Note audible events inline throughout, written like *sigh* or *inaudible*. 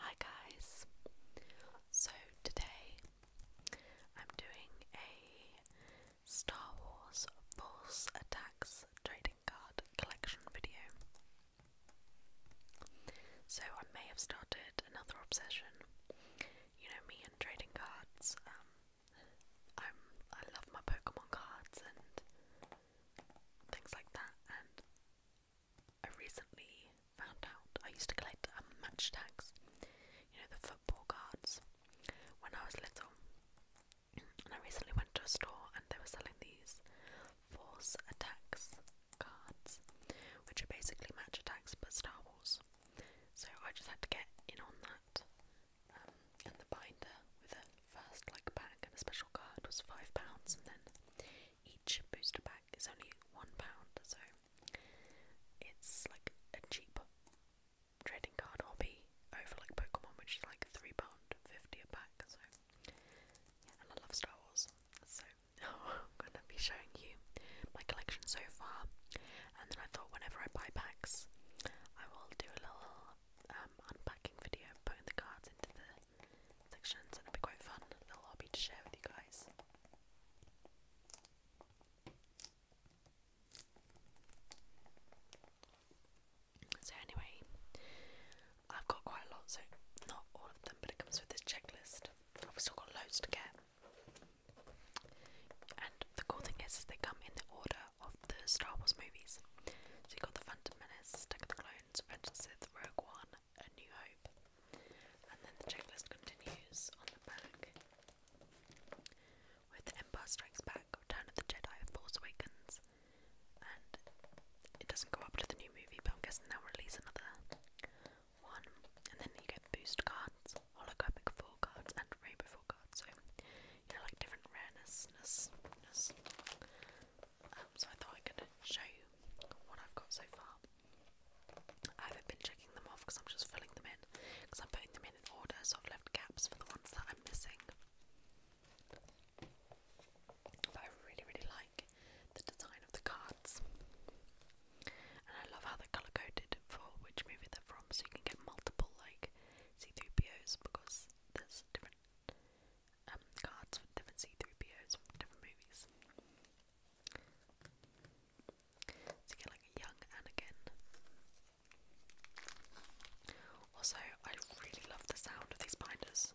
Hi guys! So today I'm doing a Star Wars Force Attacks trading card collection video. So I may have started another obsession. You know me and trading cards. Um, I'm I love my Pokemon cards and things like that and I recently found out I used to collect um, match tags, you know, the football cards, when I was little. And I recently went to a store and they were selling these Force Attacks cards, which are basically match attacks but Star Wars. So I just had to get in on that. Um, and the binder with a first like pack and a special card was £5, and then each booster pack it's only £1, so it's like a cheap trading card hobby over like Pokemon, which is like £3.50 a pack. So, and I love Star Wars. So, *laughs* I'm gonna be showing you my collection so far. And then I thought whenever I buy packs, I will do a little um, unpacking video, putting the cards into the sections, and it'll be quite fun, a little hobby to share with you guys. So anyway, I've got quite a lot, so not all of them, but it comes with this checklist. I've still got loads to get. And the cool thing is, is they come in the order of the Star Wars movies. So you got the Phantom Menace, Attack of the Clones, Revenge of the Sith, Rogue One, a New Hope. And then the checklist continues on the back with Empire Strikes Back, Return of the Jedi, Force Awakens. And it doesn't go up to the new movie, but I'm guessing they'll release another one. And then you get boost cards, holographic four cards, and rainbow four cards. So, you know, like different rarenessness so I thought I could show you what I've got so far. I haven't been checking them off because I'm just filling them in because I'm putting them in in order, so I've left gaps for the ones that I'm missing. But I really, really like the design of the cards, and I love how they're color coded for which movie they're from, so you can get multiple like see through POs because there's different um, cards from different C3POs from different movies. So you get like a young Anakin. Also, I really love the sound of these binders.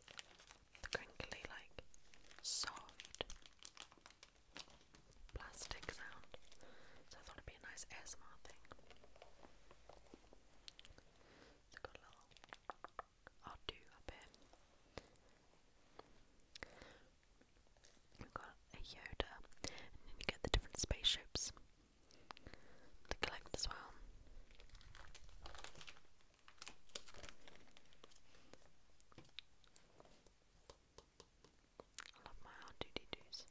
The crinkly, like, soft plastic sound. So I thought it'd be a nice ASMR thing. So got a little I'll do a bit. We've got a Yoda, and then you get the different spaceships to collect as well. I love my R2D2s.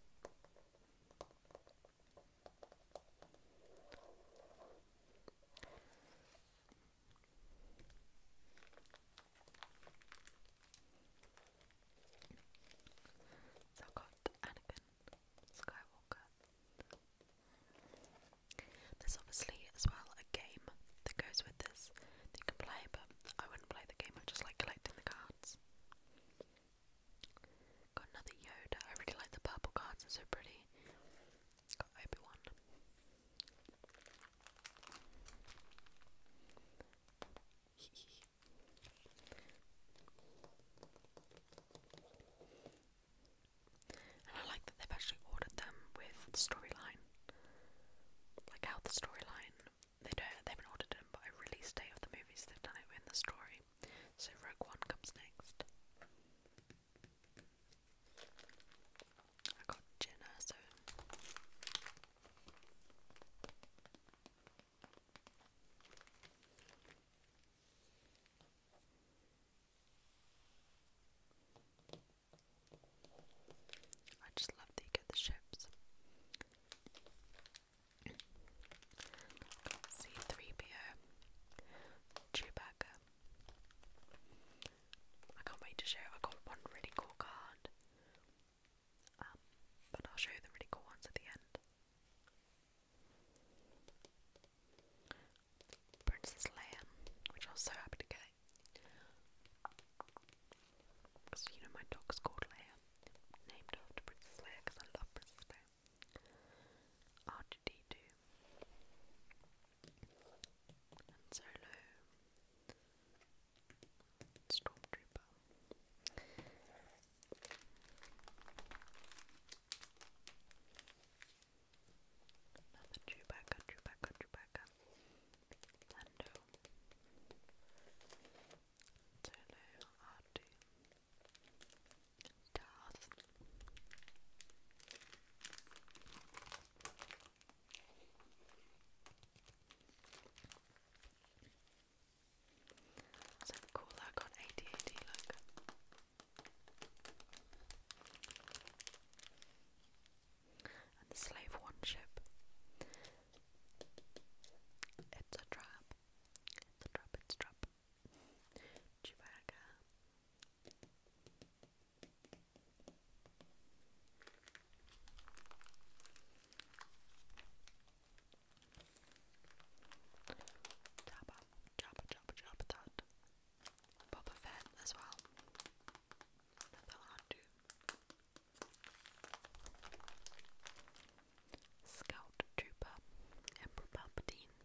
So i Anakin Skywalker. There's obviously as well a game that goes with this that you can play, but I wouldn't play the game, I just like collecting the cards. Got another Yoda. I really like the purple cards, they're so pretty. Got *laughs* I like that they've actually ordered them with storyline. Like how the storyline they don't they haven't ordered them, but release date of the movies they've done it in the story. So Rogue One comes next. I got Jenna, uh, so I just love that you get the ships. C3PO, Chewbacca, I can't wait to show. I got one really cool card, um, but I'll show the really cool ones at the end. Princess Leia, which I was so happy to get. Because you know my dog's called Leia, named after Princess Leia because I love Princess Leia. r 2 and Solo Stormtrooper. Another Chewbacca, Chewbacca, Chewbacca. Lando. Solo, r Darth. So cool that got ADAD look. And the Slave One ship. It's a trap. It's a trap, it's a trap. Jabba, Jabba, Jabba, Jabba Tut. Boba Fett as well. Another Hondu. Scout Trooper, Emperor Palpatine,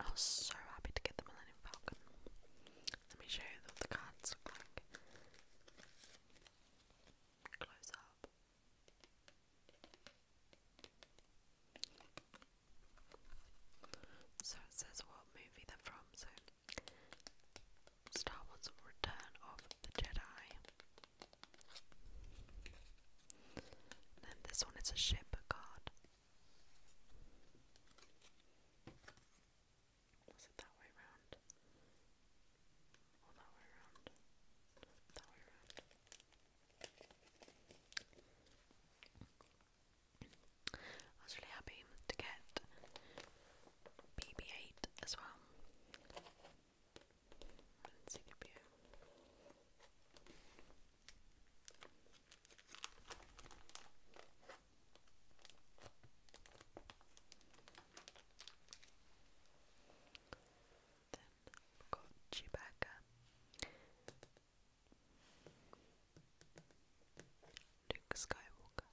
I was so happy to get the Millennium Falcon. Let me show you what the cards look like. Close up. So it says what movie they're from. So Star Wars Return of the Jedi. then this one is a ship card. Was it that way round? Or that way round? That way round. I was really happy to get BB8 as well. Then we've got Chewbacca. Luke Skywalker.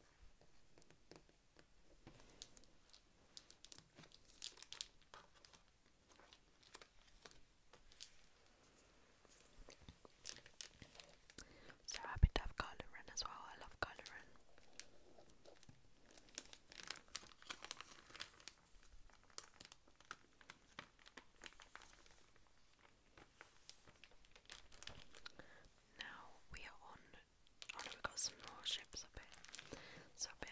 So happy to have Kylo as well. I love Kylo Now we are on. Oh no, we got some more ships So up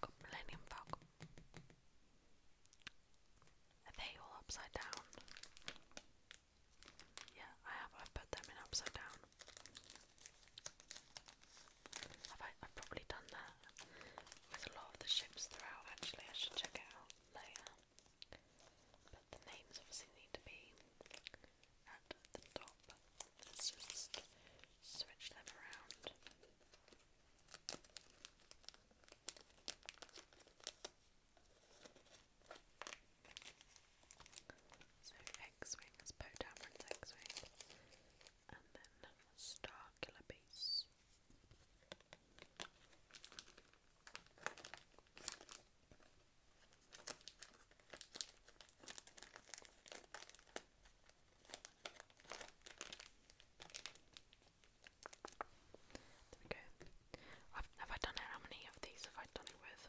got Millennium Falcon they all upside down? Yeah, I have. I've put them in upside down. Have I, have probably done that with a lot of the ships throughout, actually. I should check it out later. But the names obviously need to be at the top. Let's just switch them around. So X-Wing Poe Dameron's X-Wing and then Star Killer Beast. There I've, I done it? How many of these have I done it with?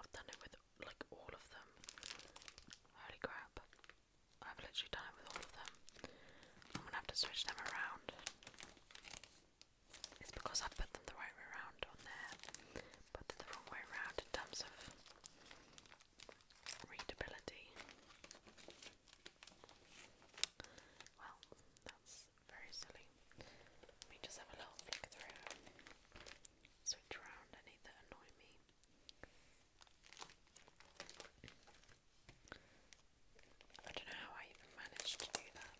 I've done it with like all of them. Holy crap. I've literally done it with all of them. I'm gonna have to switch them around. It's because I put them the right way around on there, but they the wrong way around in terms of readability. Well, that's very silly. Let just have a little flick through, switch around any that annoy me. I don't know how I even managed to do that.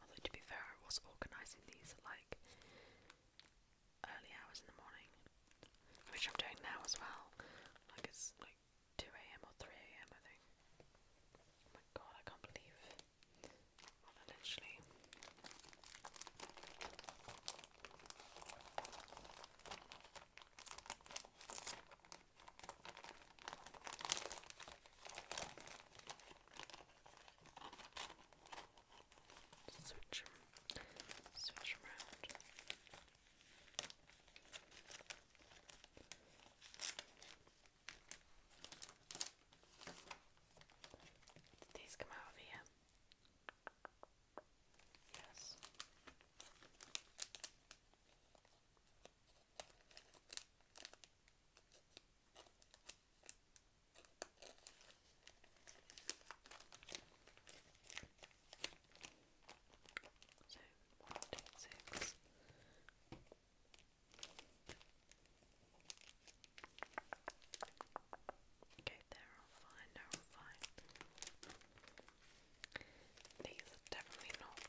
Although to be fair, I was organising these at like early hours in the morning, which I'm doing now as well. Like it's like 2 a.m. or 3 a.m. I think. Oh my god, I can't believe I literally. Switch them, switch around. These come out of Yes. So one, two, six. Okay, they're all fine, they're fine. These are definitely not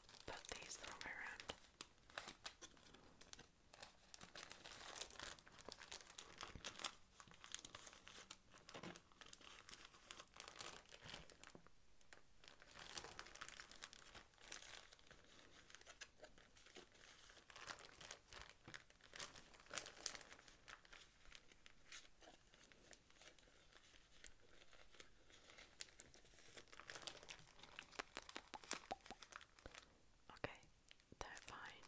I'll put these the wrong way around. Okay, they're fine.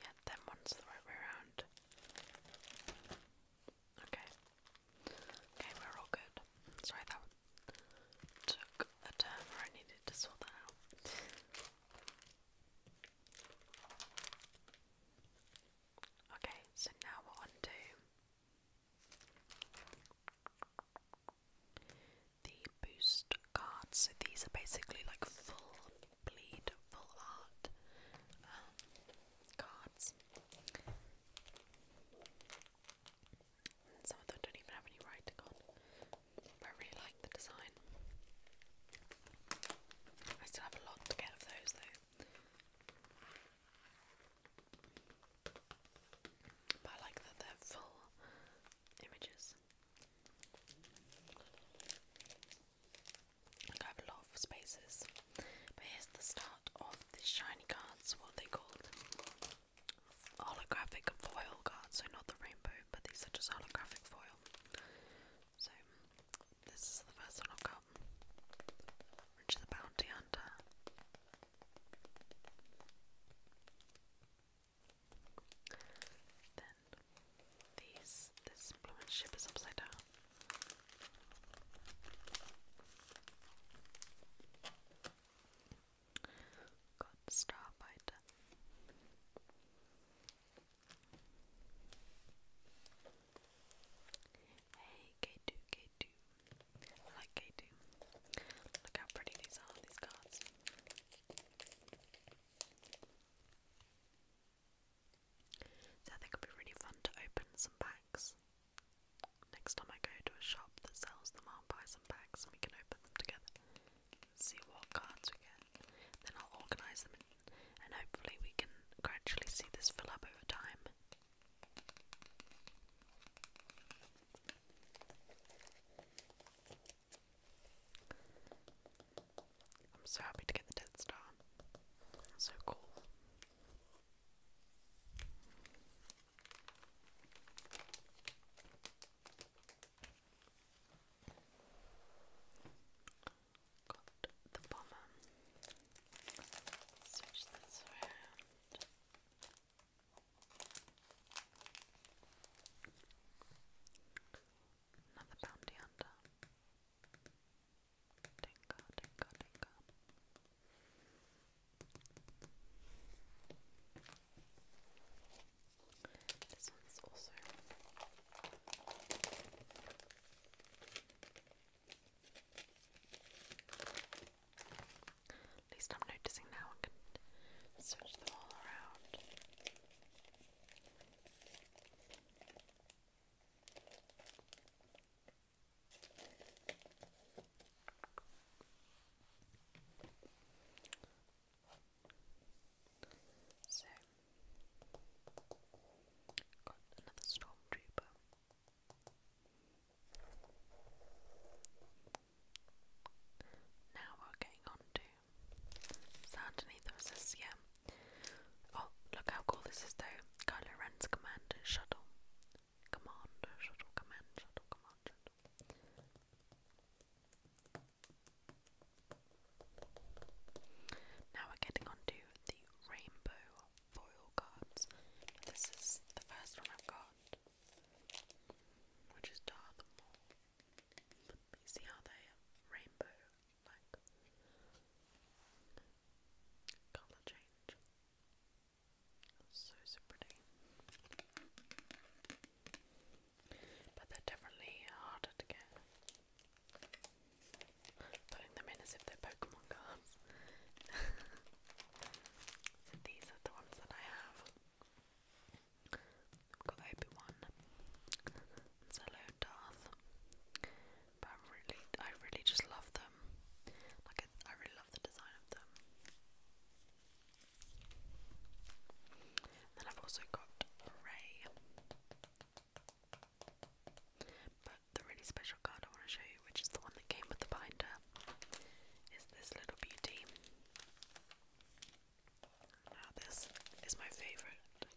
Yeah, them one's the right way around. Okay. Okay, we're all good. Sorry, that took a turn where I needed to sort that out. Okay, so now we're on the boost cards. So these are basically like full bleed, full art um, cards some of them don't even have any writing on. But I really like the design. I still have a lot to get of those though. But I like that they're full images. Like I have a lot of spaces. But here's the start of the shiny cards, what they called? holographic foil cards, so not the rainbow, but these are just holographic foil. So, this is the first one i got, which is the Bounty Hunter. Then, these, this blue ship is upside down. Gott, Starfighter. Hey, K2, K2. I like K2. Look how pretty these are, these cards. So I think it'd be really fun to open some packs Next time I go to a shop that sells them, I'll buy some packs and we can open them together. See what cards we get. Then I'll organise them and hopefully we can gradually see this fill up over time. I'm so happy to get the dead Star. So cool. Got the bomber. Switch this around. Another bounty hunter. Tinker, tinker, tinker. This one's at least I'm noticing now I can switch them all around got another stormtrooper. Now we're getting on to Sand Beneath yeah. Oh, look how cool this is though. Kylo Ren's command shuttle. Command shuttle, command shuttle, command now we're getting on the rainbow foil cards. This is the first one I've got, which is Dartmoor. You see how they rainbow like colour change. So, so pretty. But they're definitely harder to get. Putting them in as if they're Pokemon cards. *laughs* these are the ones that I have. I've got Obi Wan, Zello, Darth. But really, I really just love them. Like I really love the design of them. Then I've also got Ray. But the really special card I want to show you, which is the one that came with the binder, is this little beauty. this is my favourite.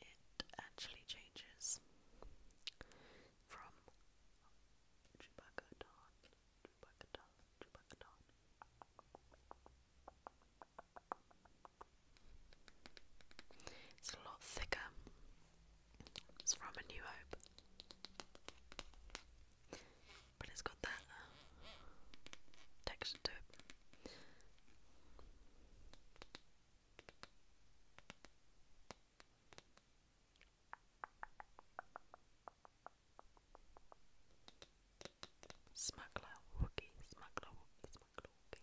It actually changes from Chewbacca Don Chewbacca doll, It's a lot thicker. It's from A New Hope. But it's got that uh, texture to it. Smuggler Wookie, Smuggler Wookie, Smuggler Wookie.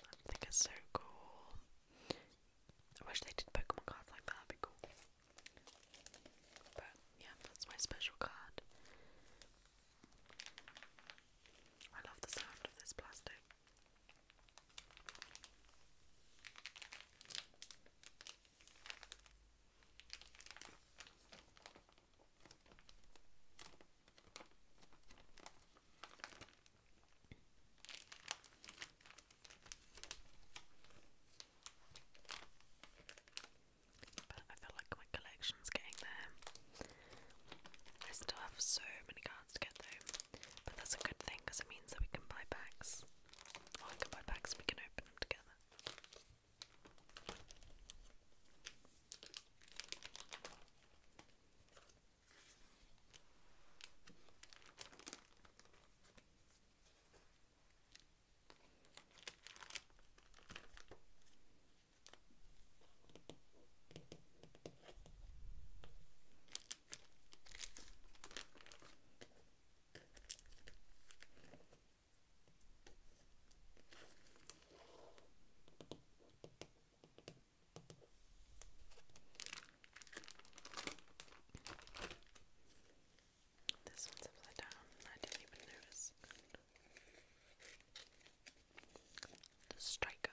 I think it's so cool. I wish they did Pokemon cards like that, that'd be cool. But yeah, that's my special card. I love the sound of this plastic. But I feel like my collection's getting there. I still have so many cards to get though, but that's a good thing because it means that we can buy packs. I'll look my bags so we can open them together. This one's upside down. I didn't even notice. The striker.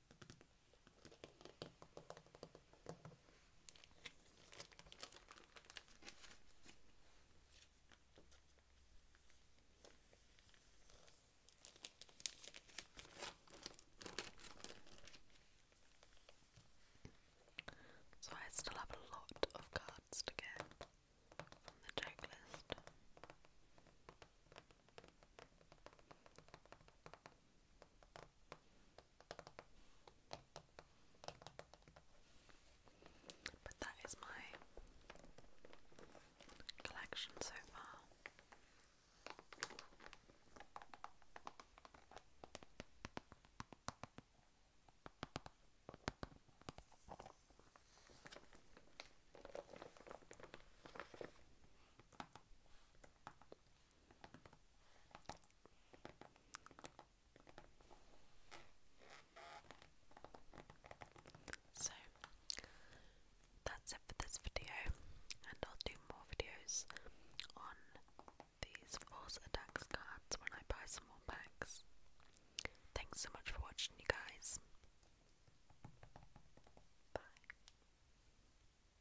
So I still have a lot of cards to get from the checklist. But that is my collection so far. So that's it for this video, and I'll do more videos on these force attacks cards when I buy some more packs. Thanks so much for watching, you guys. Bye.